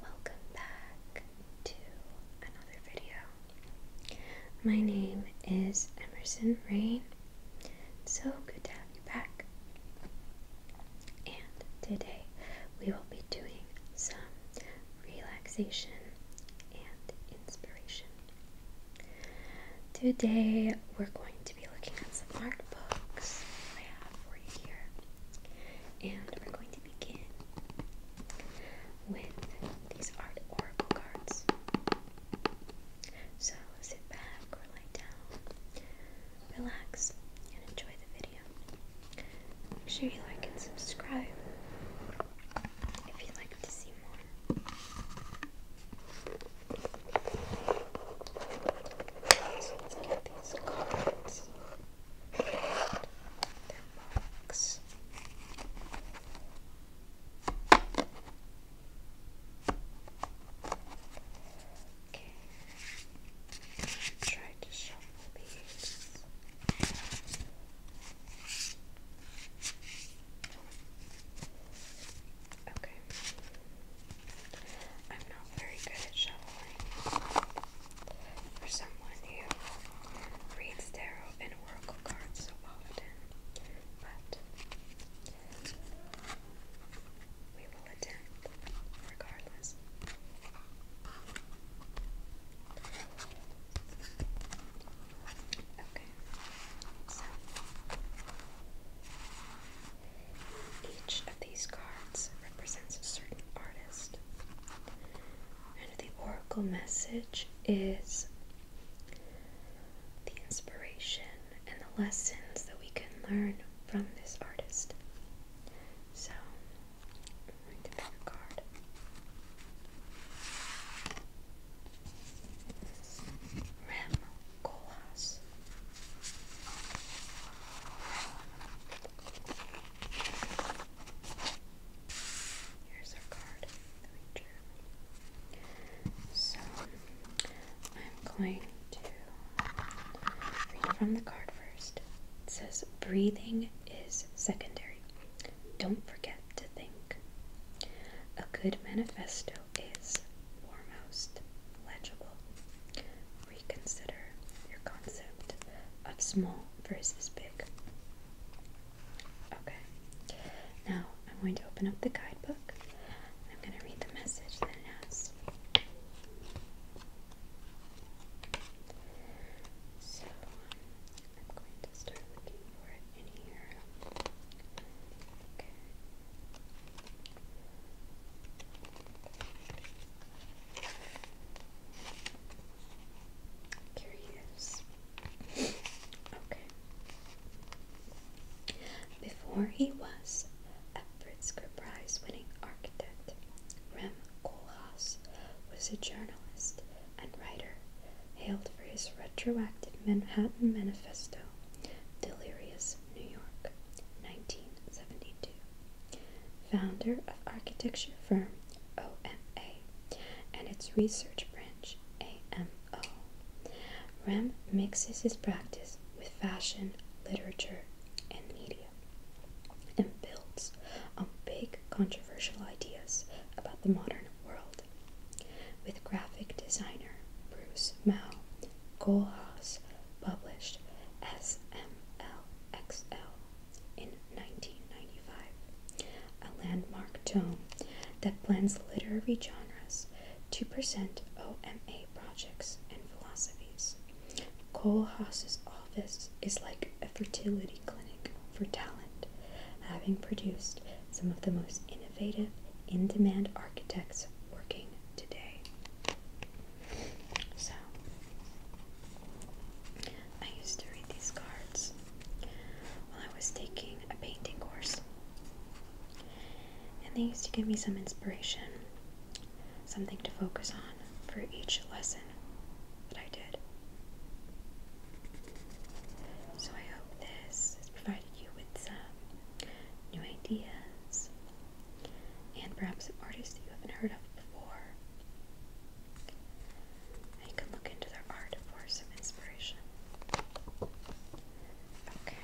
Welcome back to another video. My name is Emerson Rain. so good to have you back. And today we will be doing some relaxation and inspiration. Today we're going to be looking at some art books I have for you here. And we're going to begin with these art oracle cards. So sit back or lie down, relax, and enjoy the video. Make sure you like and subscribe if you'd like to see more. let's get these cards their Okay, try to shuffle these. Okay, I'm not very good at shuffling. For someone who reads tarot and oracle cards so often, but we will attempt regardless. Okay, so each of these cards represents a certain artist. And the oracle message is the inspiration and the lessons that we can learn from this artist. So, I'm going to card. Rem Koolhaas. Here's our card that we So I'm going to read from the card first. It says, Breathing is secondary. Don't forget to think. A good manifesto is foremost legible, reconsider your concept of small versus big. Okay, now I'm going to open up the guidebook I'm going to read the message that it has. So I'm going to start looking for it in here. Okay. Curious. okay. Before he was a Pritzker Prize winning architect, Rem Koolhaas was a journalist and writer hailed for his retroactive Manhattan Manifesto, Delirious New York, 1972 founder of architecture firm OMA and its research branch AMO. Rem mixes his practice with fashion, literature, and media and builds on big controversial ideas about the modern world. With graphic designer Bruce Mao, Kohlhaas published SMLXL in 1995, a landmark tome that blends literary genres to present OMA projects and philosophies. Cole Haas's office is like a fertility clinic for talent, having produced some of the most innovative, in demand architects working today. So, I used to read these cards while I was taking a painting course. And they used to give me some inspiration, something to focus on for each lesson that I did. So, I hope this has provided you with some new ideas and perhaps an artist that you haven't heard of before you can look into their art for some inspiration. Okay.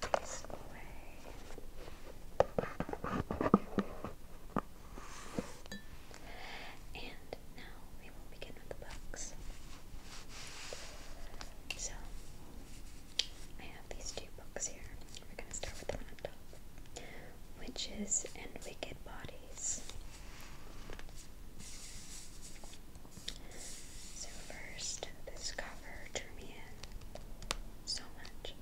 Put this away. And now we will begin with the books. So, I have these two books here. We're going to start with the one Witches and Wicked Bodies. So, first, this cover drew me in so much.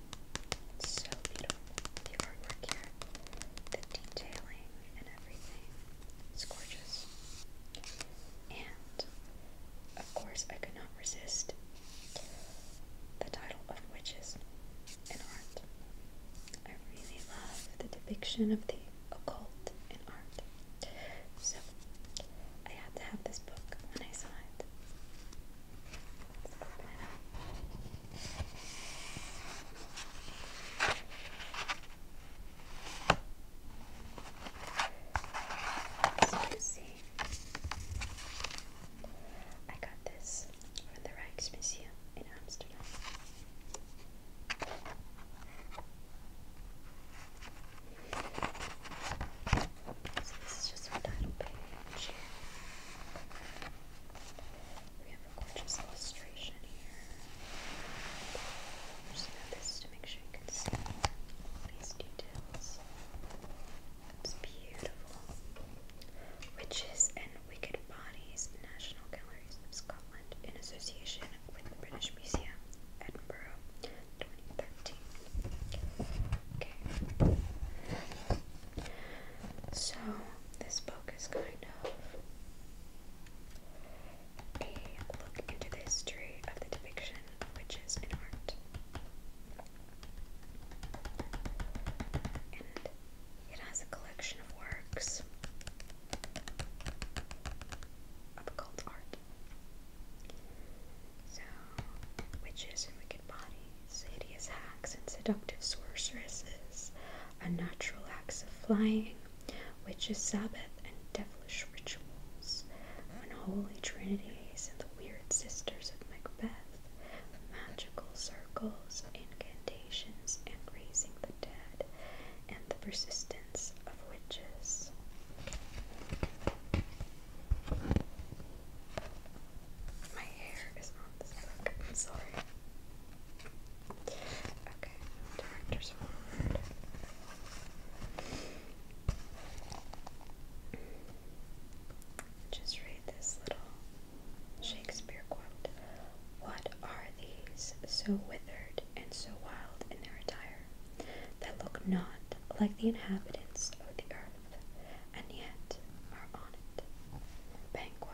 so beautiful. The artwork here, the detailing, and everything. It's gorgeous. And, of course, I could not resist the title of Witches and Art. I really love the depiction of the occult in art. So, I had to have this book when I saw it. Let's open it up. As you see, I got this from the Rijksmuseum in Amsterdam. So this is just our title page. We have a gorgeous illustration here. Just grab this to make sure you can see all these details. It's beautiful. Witches and Wicked Bodies, National Galleries of Scotland, in association with the British Museum, Edinburgh, 2013. Okay. So, this book is kind of a look into the history of the depiction of witches in art. And it has a collection of works of occult art. So, witches and wicked bodies, hideous hags, and seductive sorceresses, unnatural acts of flying, Witches' Sabbath and devilish rituals, unholy trinities, and the weird sisters of Macbeth, magical circles, incantations, and raising the dead, and the persistence of witches. My hair is on this book, sorry. Okay, director's forward. Just read this little Shakespeare quote. What are these so withered and so wild in their attire, that look not like the inhabitants of the earth, and yet are on it? Banquo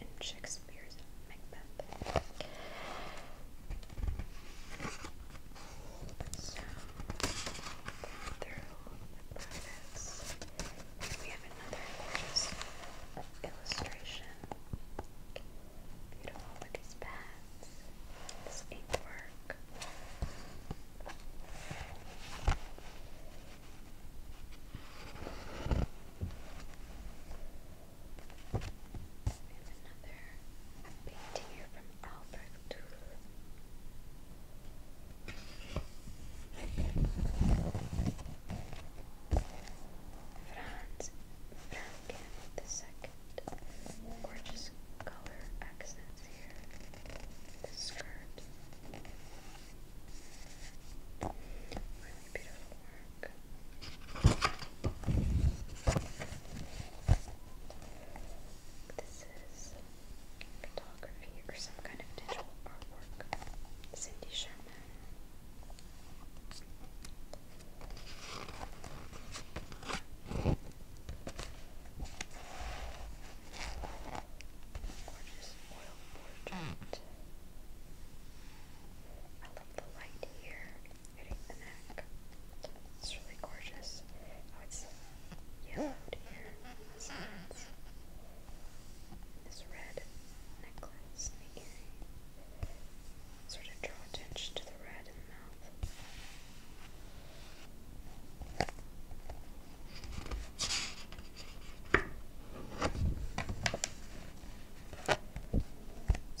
in Shakespeare's Macbeth. So, through we have another illustration. Beautiful with these this ink work. We have another painting here from Albrecht. Franz Franken the Gorgeous color accents here. The skirt. Really beautiful work. This is photography or some kind of digital artwork. Cindy Sherman. Gorgeous oil portrait. I love the light here hitting the neck. It's really gorgeous. Oh, it's yellowed here This red necklace sort of draw attention to the red in the mouth. It's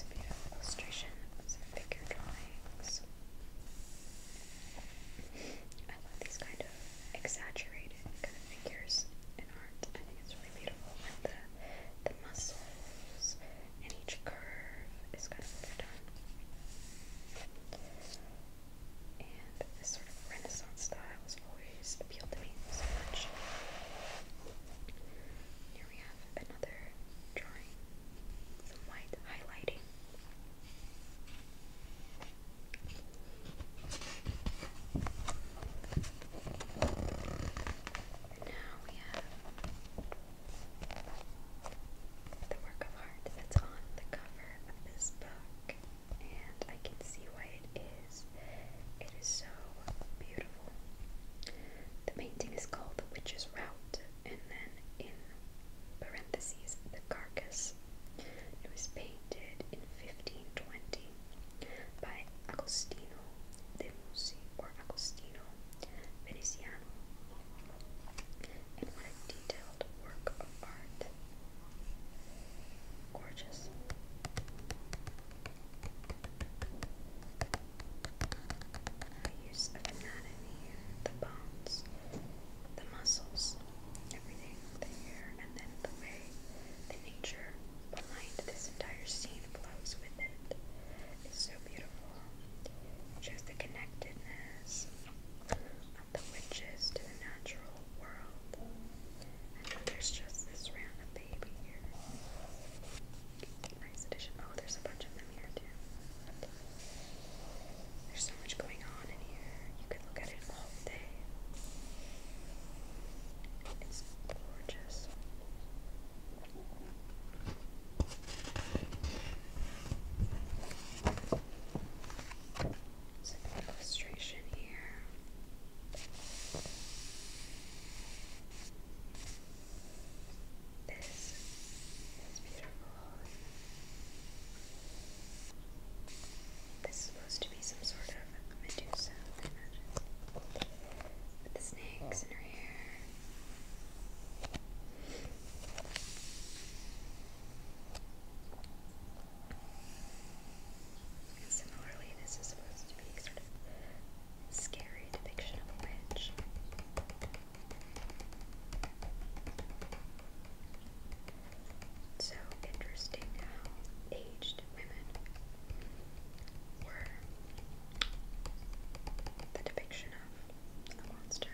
a beautiful illustration of some figure drawings. I love these kind of exaggerated kind of figures in art. I think it's really beautiful, like the the muscles and each curve is kind of overdone. And this sort of Renaissance style has always appealed to me so much. Here we have another drawing some white highlighting. now we have the work of art that's on the cover of this book, and I can see why it is. It is so beautiful. The painting is called The Witch's Route and then in parentheses the carcass. It was painted in 1520 by Agostino de Musi or Agostino Veneziano, and what a detailed work of art! Gorgeous. The use of anatomy, the bones, the muscles, everything there, and then the way the nature behind this entire scene flows with it is so beautiful. It shows the connectedness of the witches to the natural world. And there's just this random baby here. Nice edition. Oh, there's a bunch of them here too. There's so much going on in here. You could look at it all day. It's gorgeous. Some illustration here. This is beautiful. This is supposed to be some sort of Medusa, I imagine. With the snakes in her hair. similarly, this is supposed to be sort of scary depiction of a witch. So interesting how aged women were the depiction of a monster.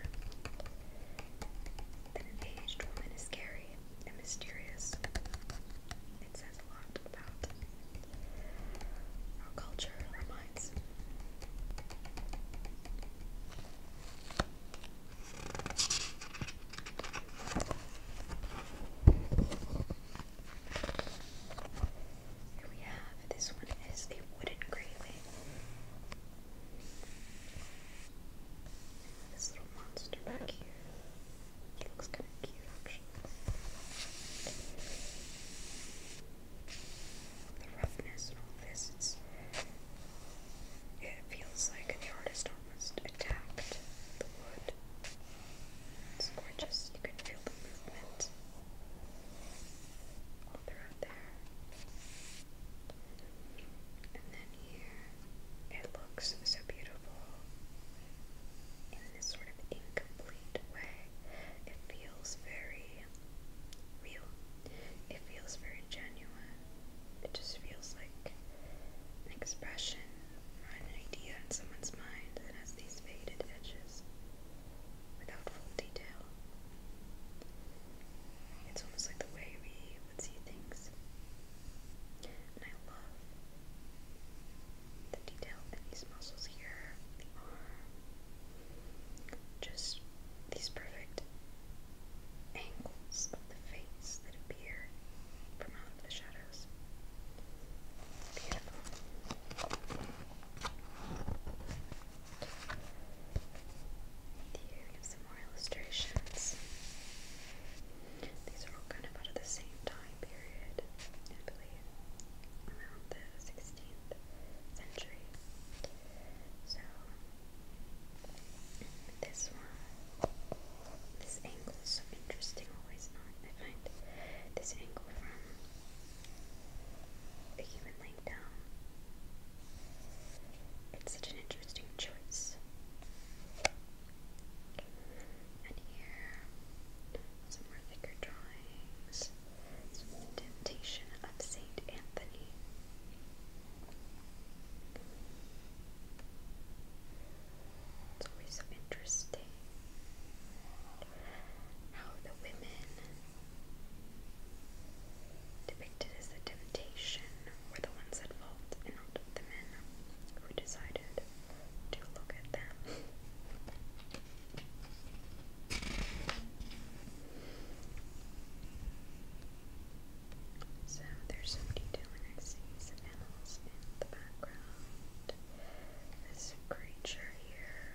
That an aged woman is scary and mysterious. It says a lot about our culture, here we have this one is a wooden graving. This little monster back here. It looks kind of cute actually the roughness all this, it feels like the artist almost attacked the wood. It's gorgeous. You can feel the movement all throughout there. And then here, it looks so beautiful in this sort of incomplete way. It feels very real. It feels very genuine. It just feels like an expression an idea in someone's mind that has these faded edges without full detail. It's almost like the way we would see things. And I love the detail these muscles here, just these perfect angles of the face that appear from out of the shadows. Beautiful. Here we some more illustrations. These are all kind of out of the same time period, I believe, around the 16th century. So this one, this angle is so interesting. Always I find this angle from the human leg down. It's such an interesting choice. And here, some more thicker drawings. Temptation of Saint Anthony. It's always so interesting how the women depicted as the temptation were the ones at fault and not the men who decided to look at them. So there's some detail I see some animals in the background. This creature here.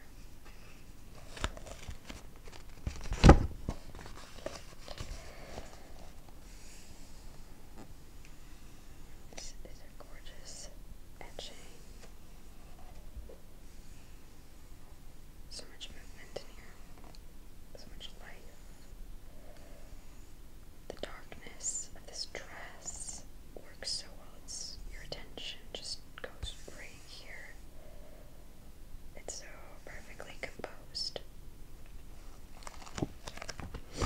This is a gorgeous etching. So much movement in here. So much light. The darkness of this dress works so well. It's your attention just goes right here. It's so perfectly composed. we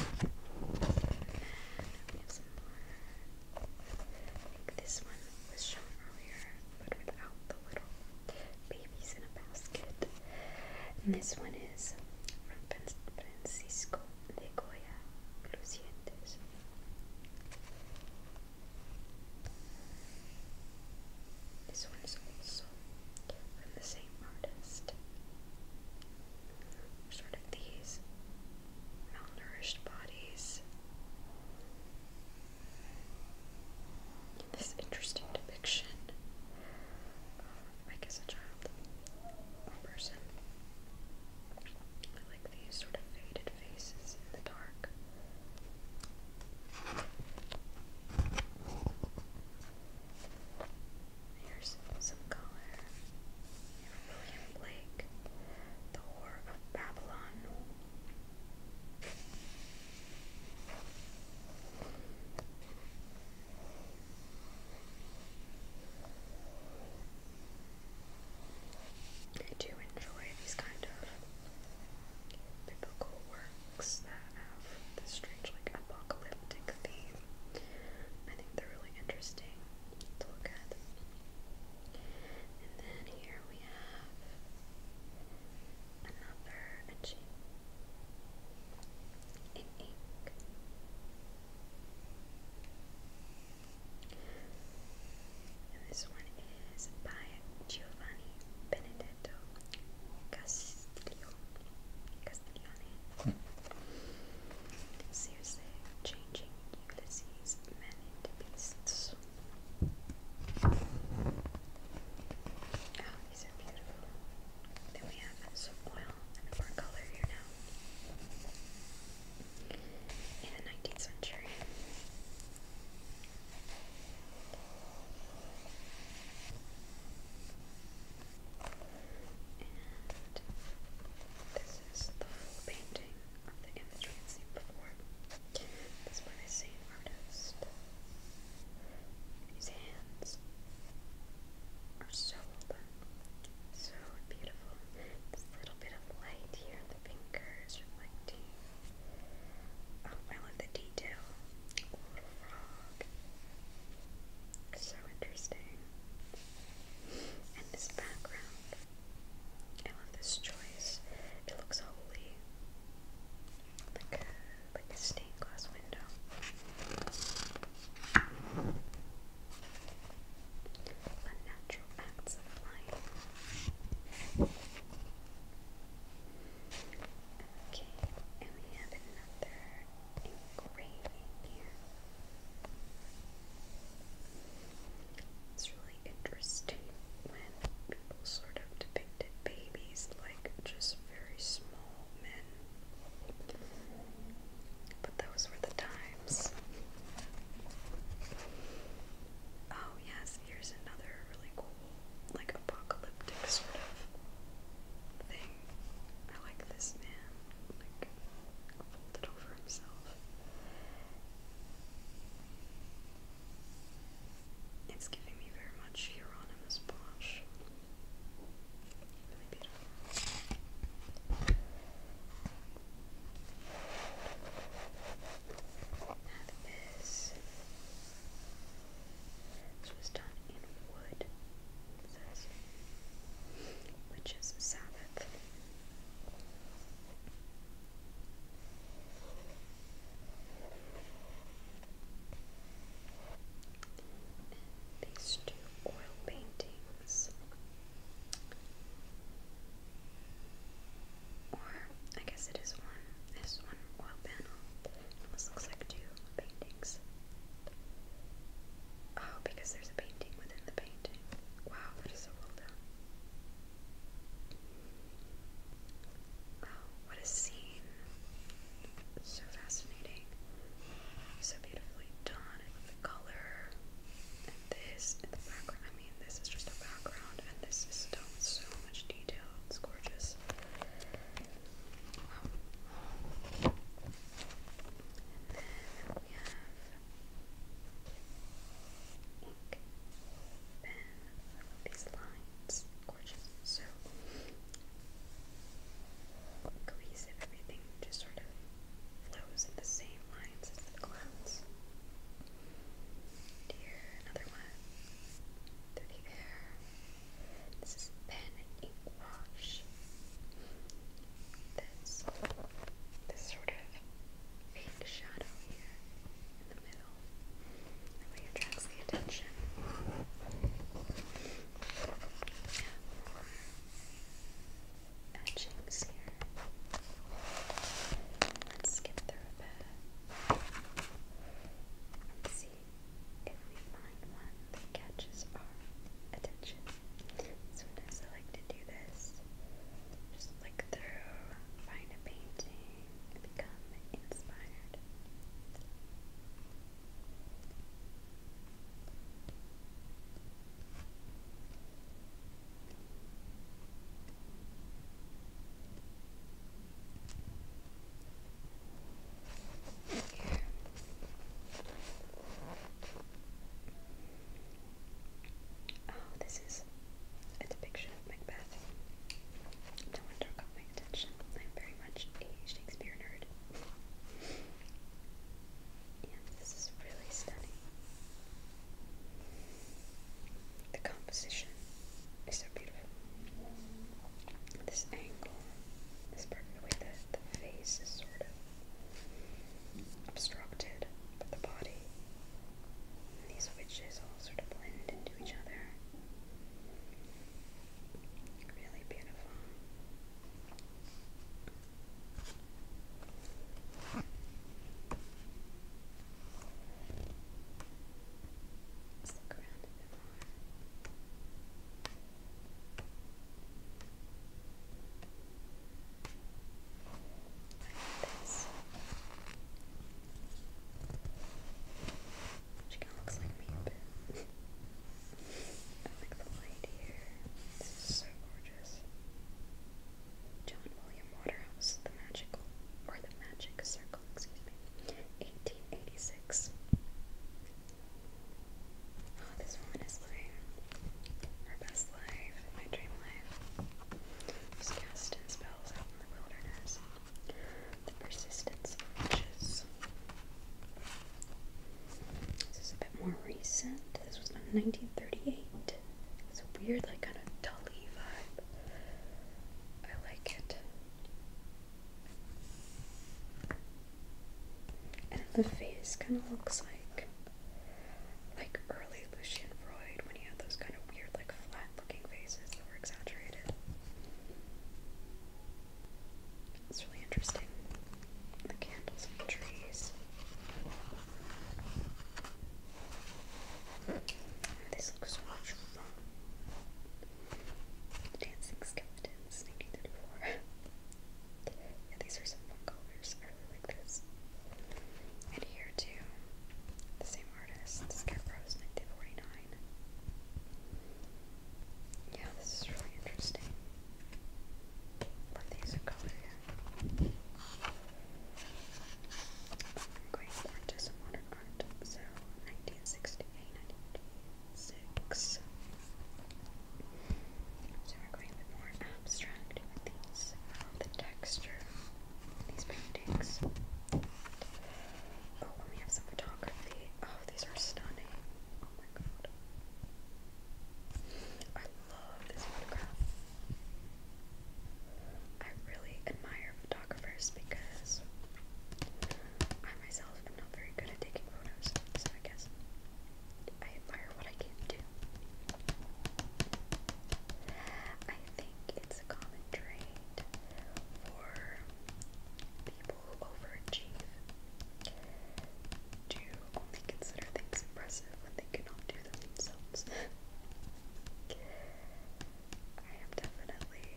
have some more. I this one was shown earlier, but without the little babies in a basket. And this one is from Francisco de Goya, This one is also from the same artist. Sort of these malnourished bodies this interesting depiction I guess, a child a person. I like these sort of faded faces in the dark. Here's some color. William Blake, The War of Babylon. I do enjoy these kind of biblical works that have this strange, like, apocalyptic theme. I think they're really interesting to look at. And then here we have another etching in ink. And this one is by Giovanni Benedetto Castiglione. Hmm. changing Ulysses men beasts. Oh, these are beautiful. Then we have some oil and more color here now. In the 19th century. And this is the full painting of the image we had seen before. This one is Saint Artist. These hands are so open, so beautiful. This little bit of light here on the fingers reflecting. Oh, I love the detail. little frog. So interesting. And this background. I love this choice. It looks holy. Like a, like a stained glass window. Unnatural acts of flying. Okay, and we have another engraving here. It's really interesting when people sort of depicted babies like just very small men. But those were the times. Oh, yes, here's another really cool, like, apocalyptic sort of thing. I like this man, like, folded over himself. It's giving me very much Hieronymus Bosch. Really beautiful. Now this. This was done in wood, which is Sabbath these two oil paintings, or I guess it is one. This one oil panel. almost looks like two paintings. Oh, because there's a painting within the painting. Wow, that is so well done. Wow, oh, what a scene. So fascinating. So beautifully done. I love the color. And this in the background. I mean, this is just a background, and this is done with so much detail. It's gorgeous. Wow. then we have pink pen. these lines. Gorgeous. So cohesive. Everything just sort of flows in the same lines as the clouds. here, another one. Through the This is pen and ink wash. This, this sort of fake shadow here in the middle. That way attracts the attention. Etchings here. Let's skip through a bit. let see if we find one that catches our attention. Sometimes I like to do this. Just look through, find a painting, become inspired. Oh, this is a depiction of Macbeth. No wonder it caught my attention. I'm very much a Shakespeare nerd. And this is really stunning. The composition is so beautiful. This angle, this perfect way that the face is sort of obstructed, but the body, these witches all sort of blend into each other. Really beautiful. look around this. She kind of looks like me a I like the light here. This so gorgeous. John William Waterhouse, The Magical, or The Magic Circle, excuse me, 1886. Oh, this woman is living her best life, my dream life. She's casting spells out in the wilderness the persistence of flushes. This is a bit more recent. This was in 1938. It's a weird, like, kind of tully vibe. I like it. And the face kind of looks like like early Lucian Freud when he had those kind of weird, like flat-looking faces that were exaggerated. It's really interesting. The candles and trees. This looks much fun. Dancing skeletons sneaking yeah, these are some fun colors. I really like this. And here too, the same artist, Scarecrow's 1949. Yeah, this is really interesting. these in color here. modern art. So, 1968, So, we're going a more abstract with these. Um, the texture these paintings. Oh, we have some photography. Oh, these are stunning. Oh my god. I love this photograph. I really admire photographers because I myself am not very good at taking photos, so I guess I admire what I can do. I think it's a common trait for people who overachieve to only consider things impressive when they cannot do them themselves. I am definitely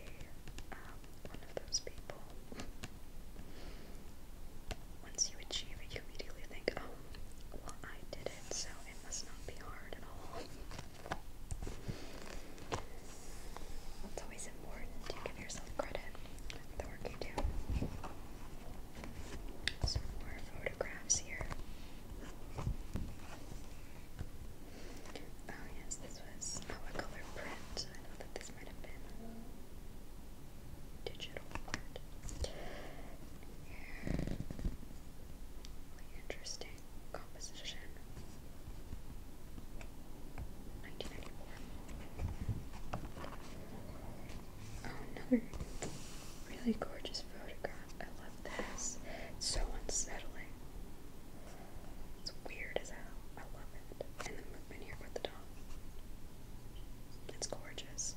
um, one of those people. Once you achieve it, you immediately think, oh, well, I did it, so it must not be hard at all. It's always important to give yourself credit for the work you do. Some more photographs here. Oh yes, this was a color print. I know that this might have been digital print. Yeah. Really interesting. Composition. 1994. Oh, another really gorgeous photograph. I love this. It's so unsettling. It's weird as hell. I love it. And the movement here with the dog. It's gorgeous.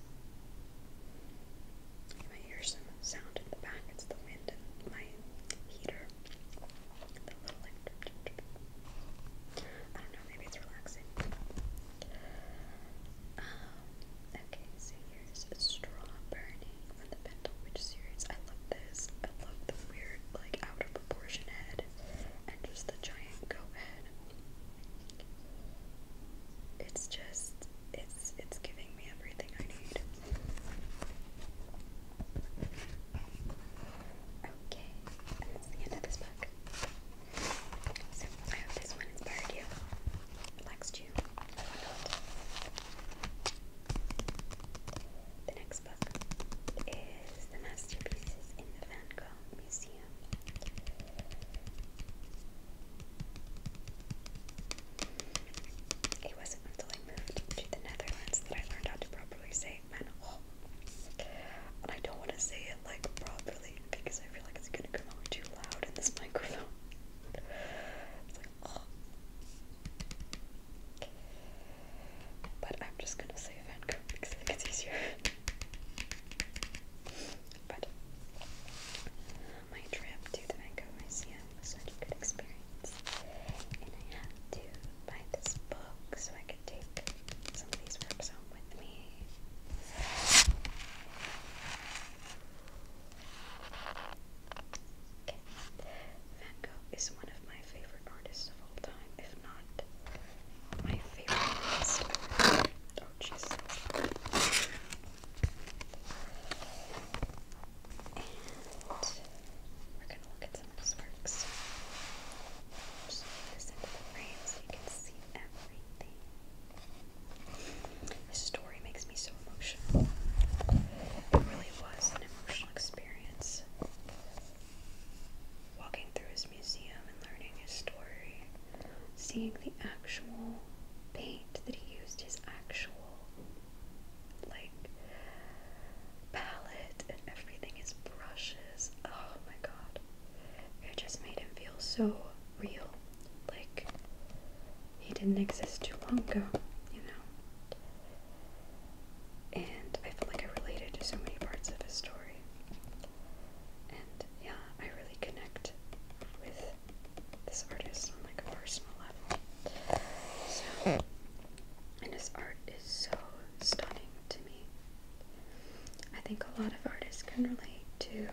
You hear some sound in the back. It's the wind and my heater it's okay, so here's from the Bental Witch series. I love this. I love the weird, like out of proportion head and just the giant goat head. It's just it's it's giving me everything I need. Okay, that's the end of this book. So I hope this one inspired you, relaxed you, or whatnot. The next book is The Masterpieces in the Van Gogh Museum. It wasn't to the Netherlands that I learned how to properly say men And I don't want to say it like properly because I feel like it's gonna come out too loud in this microphone. But I'm just gonna say Vancouver because I think it's easier. but my trip to the Vancouver Museum it was such a good experience. And I had to buy this book so I could take some of these works home with me. Van Gogh is one of my favorite artists of all time, if not my favorite artist Oh, jeez. And we're going to look at some of his works. Just move this into the frame so you can see everything. This story makes me so emotional. It really was an emotional experience. Walking through his museum and learning his story, seeing the actual paint that he used, his actual like palette and everything is brushes. Oh my god. It just made him feel so real. Like he didn't exist too long ago, you know. And I felt like I related to so many parts of his story. And yeah, I really connect with this artist on like a personal level. So and his art is so stunning to me. I think a lot of artists can relate to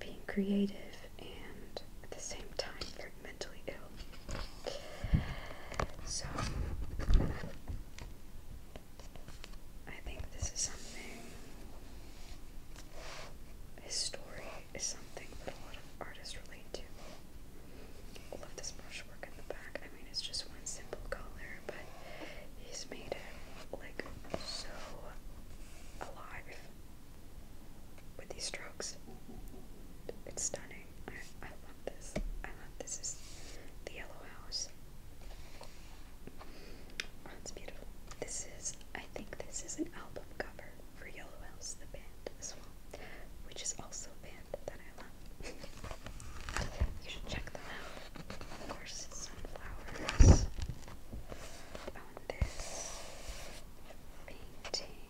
being creative and at the same time very mentally ill. So I think this is something his story is something that a lot of artists relate lovely Love this brushwork in the back. I mean, it's just one simple color, but he's made it like so alive with these strokes. It's stunning. I, I love this. I love this. Is the yellow house? Oh, it's beautiful. This is. I think this is an album cover for Yellow House, the band as well, which is also a band that I love. you should check them out. Of course, sunflowers. On this painting,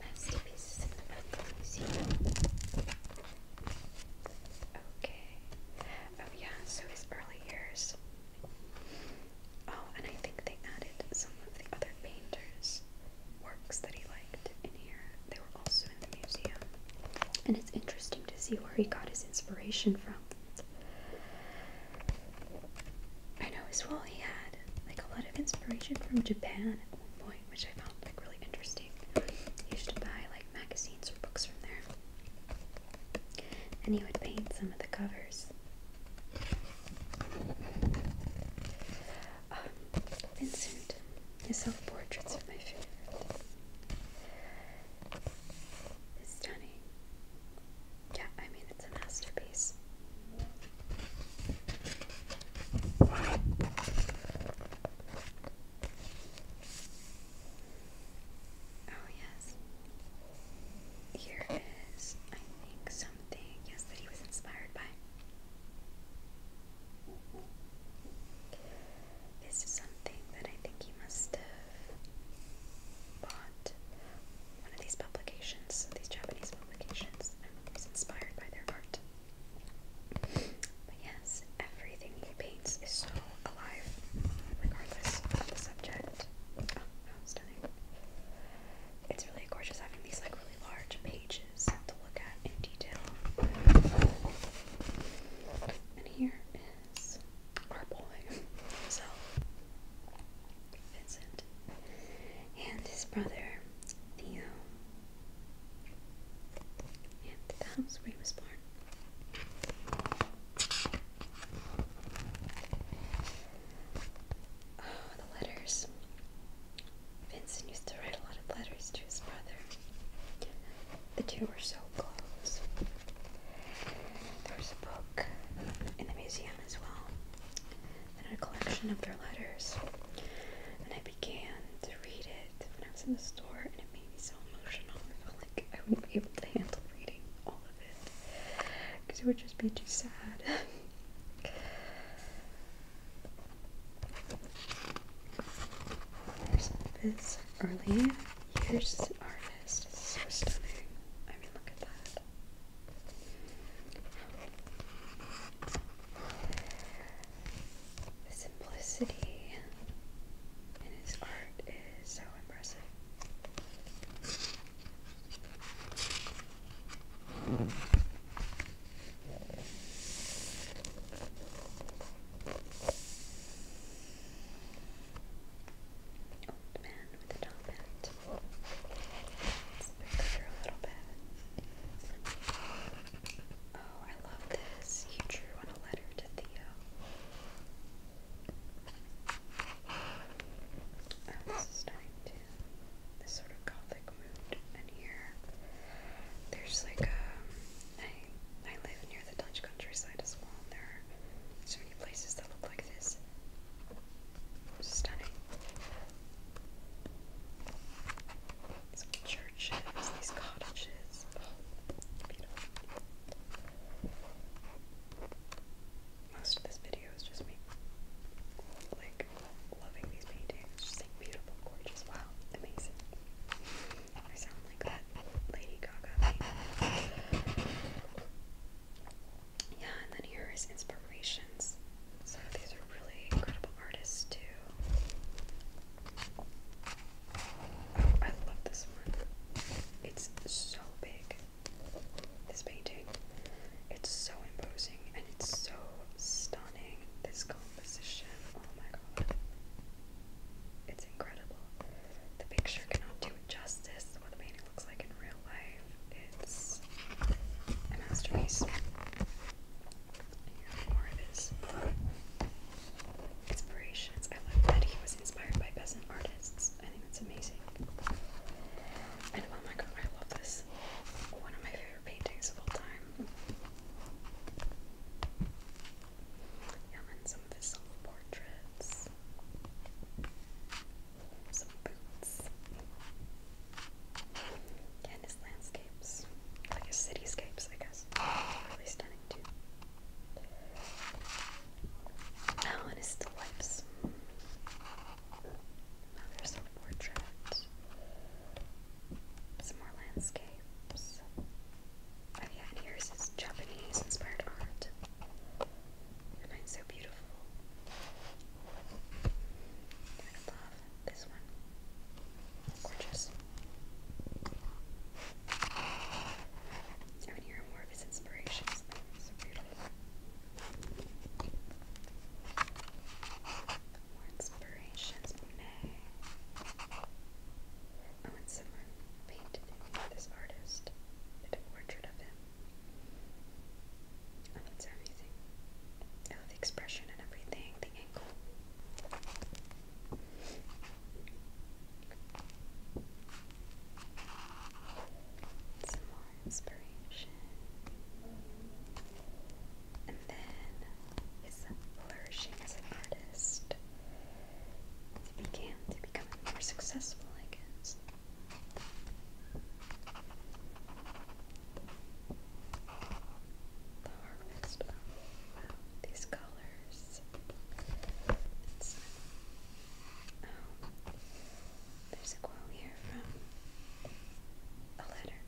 masterpieces in the Museum. Okay. Oh yeah. So his early years. Oh, and I think they added some of the other painters' works that he liked in here. They were also in the museum. And it's interesting to see where he got his inspiration from. I know as well he had like a lot of inspiration from Japan at one point, which I found like really interesting. He used to buy like magazines or books from there. And he would paint some of the covers. Um, Vincent, his self-portraits are my favorite. It's stunning. Yeah, I mean, it's a masterpiece. Oh, yes. Here is, I think, something, yes, that he was inspired by. This is something that I think he must have bought one of these publications, these Japanese publications, and he was inspired by their art. But yes, everything he paints is so alive, regardless of the subject. Oh, it's really gorgeous having these like really large pages to look at in detail. And here is our boy himself, Vincent, and his brother, Theo. And the where he was born. the letters. Vincent used to write a lot of letters to his brother. The two were so close. There's a book in the museum as well, and a collection of their letters. And I began to read it when I was in the store, and it made me so emotional. I felt like I wouldn't be able to handle reading all of it because it would just be too sad. There's this early years harvest. It's so stunning. I mean, look at that. The simplicity in his art is so impressive. Old man with a top Let's pick her a little bit. Oh, I love this. You drew on a letter to Theo. Oh, this starting to this sort of gothic mood. And here, there's like a. Um, I, I live near the Dutch countryside as well, there so many places that look like this. Stunning. Some churches, these cottages. Oh, beautiful most of this video is just me like loving these paintings. Just like beautiful, gorgeous, wow, amazing. I sound like that Lady Gaga. Yeah, and then here is inspirations. So these are really incredible artists too. Oh, I love this one. It's so big. This painting, it's so imposing and it's so stunning. This composition, oh my god, it's incredible. The picture cannot do justice. What the painting looks like in real life, it's a masterpiece. more of his inspirations. I love that he was inspired by peasant artists. I think that's amazing. And oh my god, I love this. One of my favorite paintings of all time. Yeah, and some of portraits Some boots. and his landscapes. Like his cityscapes, I guess. Really stunning too. Oh, and his still now there's some portraits, some more landscapes. Oh yeah, and here's his Japanese-inspired art. And mine's so beautiful. I love this one. Gorgeous. I can hear more of his inspirations. so beautiful. More inspirations, Monet. Oh, and someone painted this artist did a portrait of him. Oh, that's amazing. I oh, love expression and everything, the angle. Some more inspiration. And then his flourishing as an artist. He began to become more successful, I guess. The harvest. Oh, these colors. There's a quote here from a letter.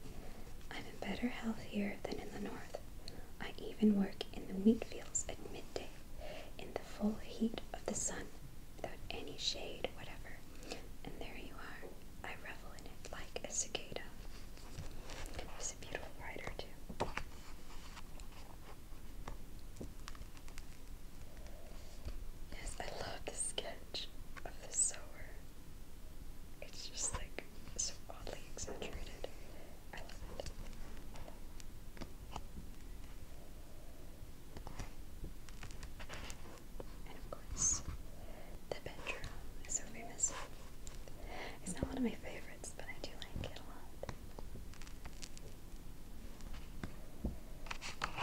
I'm in better health here than in the north. I even work in the wheat fields at midday, in the full heat of the sun, without any shade whatever. And there you are. I revel in it like a cicada. It's a beautiful writer too. Yes, I love this sketch of the sower. It's just like so oddly exaggerated. I love it. And of course, the bedroom is so famous. It's not one of my favorites, but I do like it a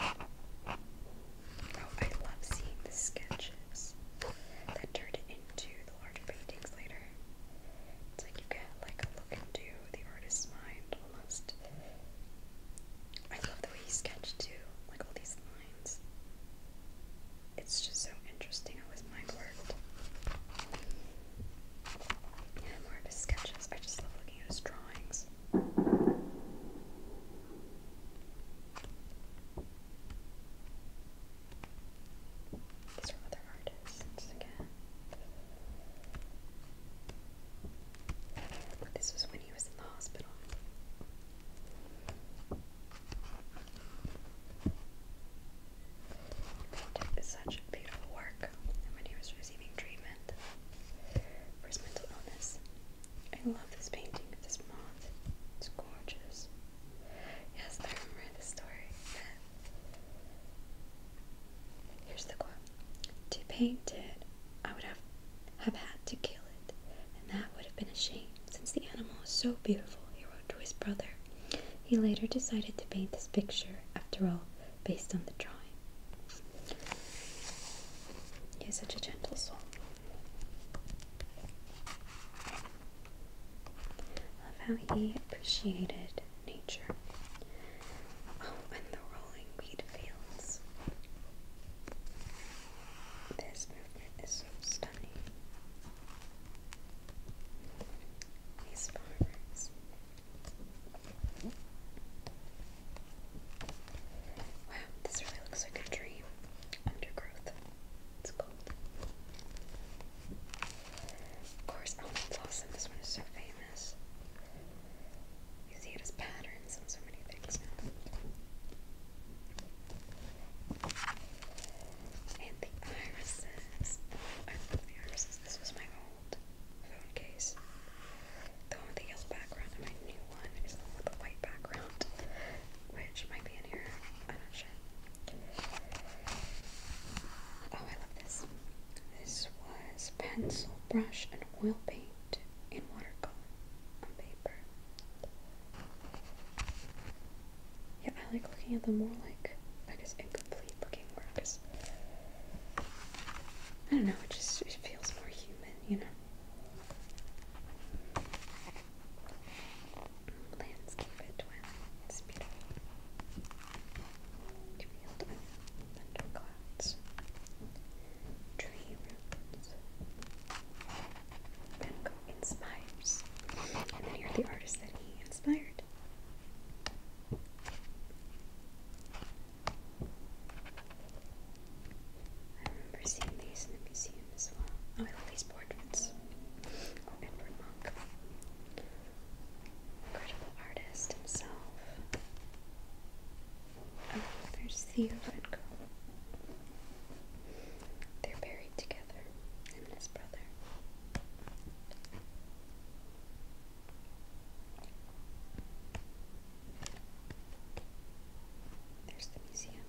lot. Oh, I love seeing the sketches that turn into the larger paintings later. It's like you get like a look into the artist's mind almost. I love the way he sketched too, like all these lines. It's just so interesting how his mind worked. Yeah, more of his sketches. I just love looking at his drawings. These are again. this was when he was in the hospital. such beautiful work when he was receiving treatment for his mental illness. I love this painting of this moth. It's gorgeous. Yes, I remember the story. Here's the quote. To paint it, I would have, have had to kill it, and that would have been a shame, since the animal is so beautiful, he wrote to his brother. He later decided to paint this picture, after all, based on the drawing. He is such a gentle soul of how he appreciated nature. Oh, and the rolling wheat fields. This movement is so stunning. These farmers. Wow, this really looks like a dream. Undergrowth. It's gold. Of course, oh, that's This one is so famous. You see it as patterns on so many things And the irises. the irises. This was my old phone case. The one with the yellow background and my new one is the with the white background, which might be in here. I'm not sure. Oh, I love this. This was pencil, brush, and oil paint in watercolor on paper. Yeah, I like looking at them more like, I guess, incomplete looking works. I don't know, it just it feels more human, you know? Landscape at twilight. It's beautiful. Field Tree roots. Van inspires. And then here are the artists that he inspired. I remember seeing these in the museum as well. Oh, I love these portraits. Oh, Edward Monk. Incredible artist himself. Oh, there's Theo and Gogh. They're buried together, and his brother. There's the museum.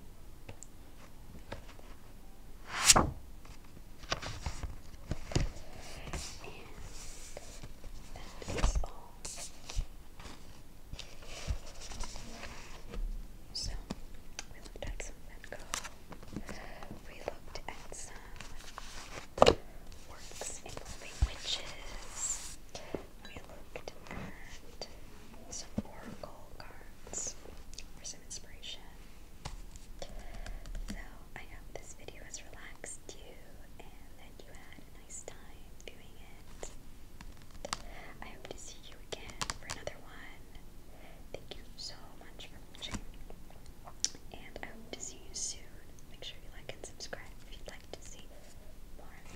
And that is all. So, we looked at some Van Gogh. We looked at some works involving witches we looked at some oracle cards for some inspiration. So I hope this video has relaxed you and that you had a nice time doing it. I hope to see you again for another one. Thank you so much for watching. And I hope to see you soon. Make sure you like and subscribe if you'd like to see more.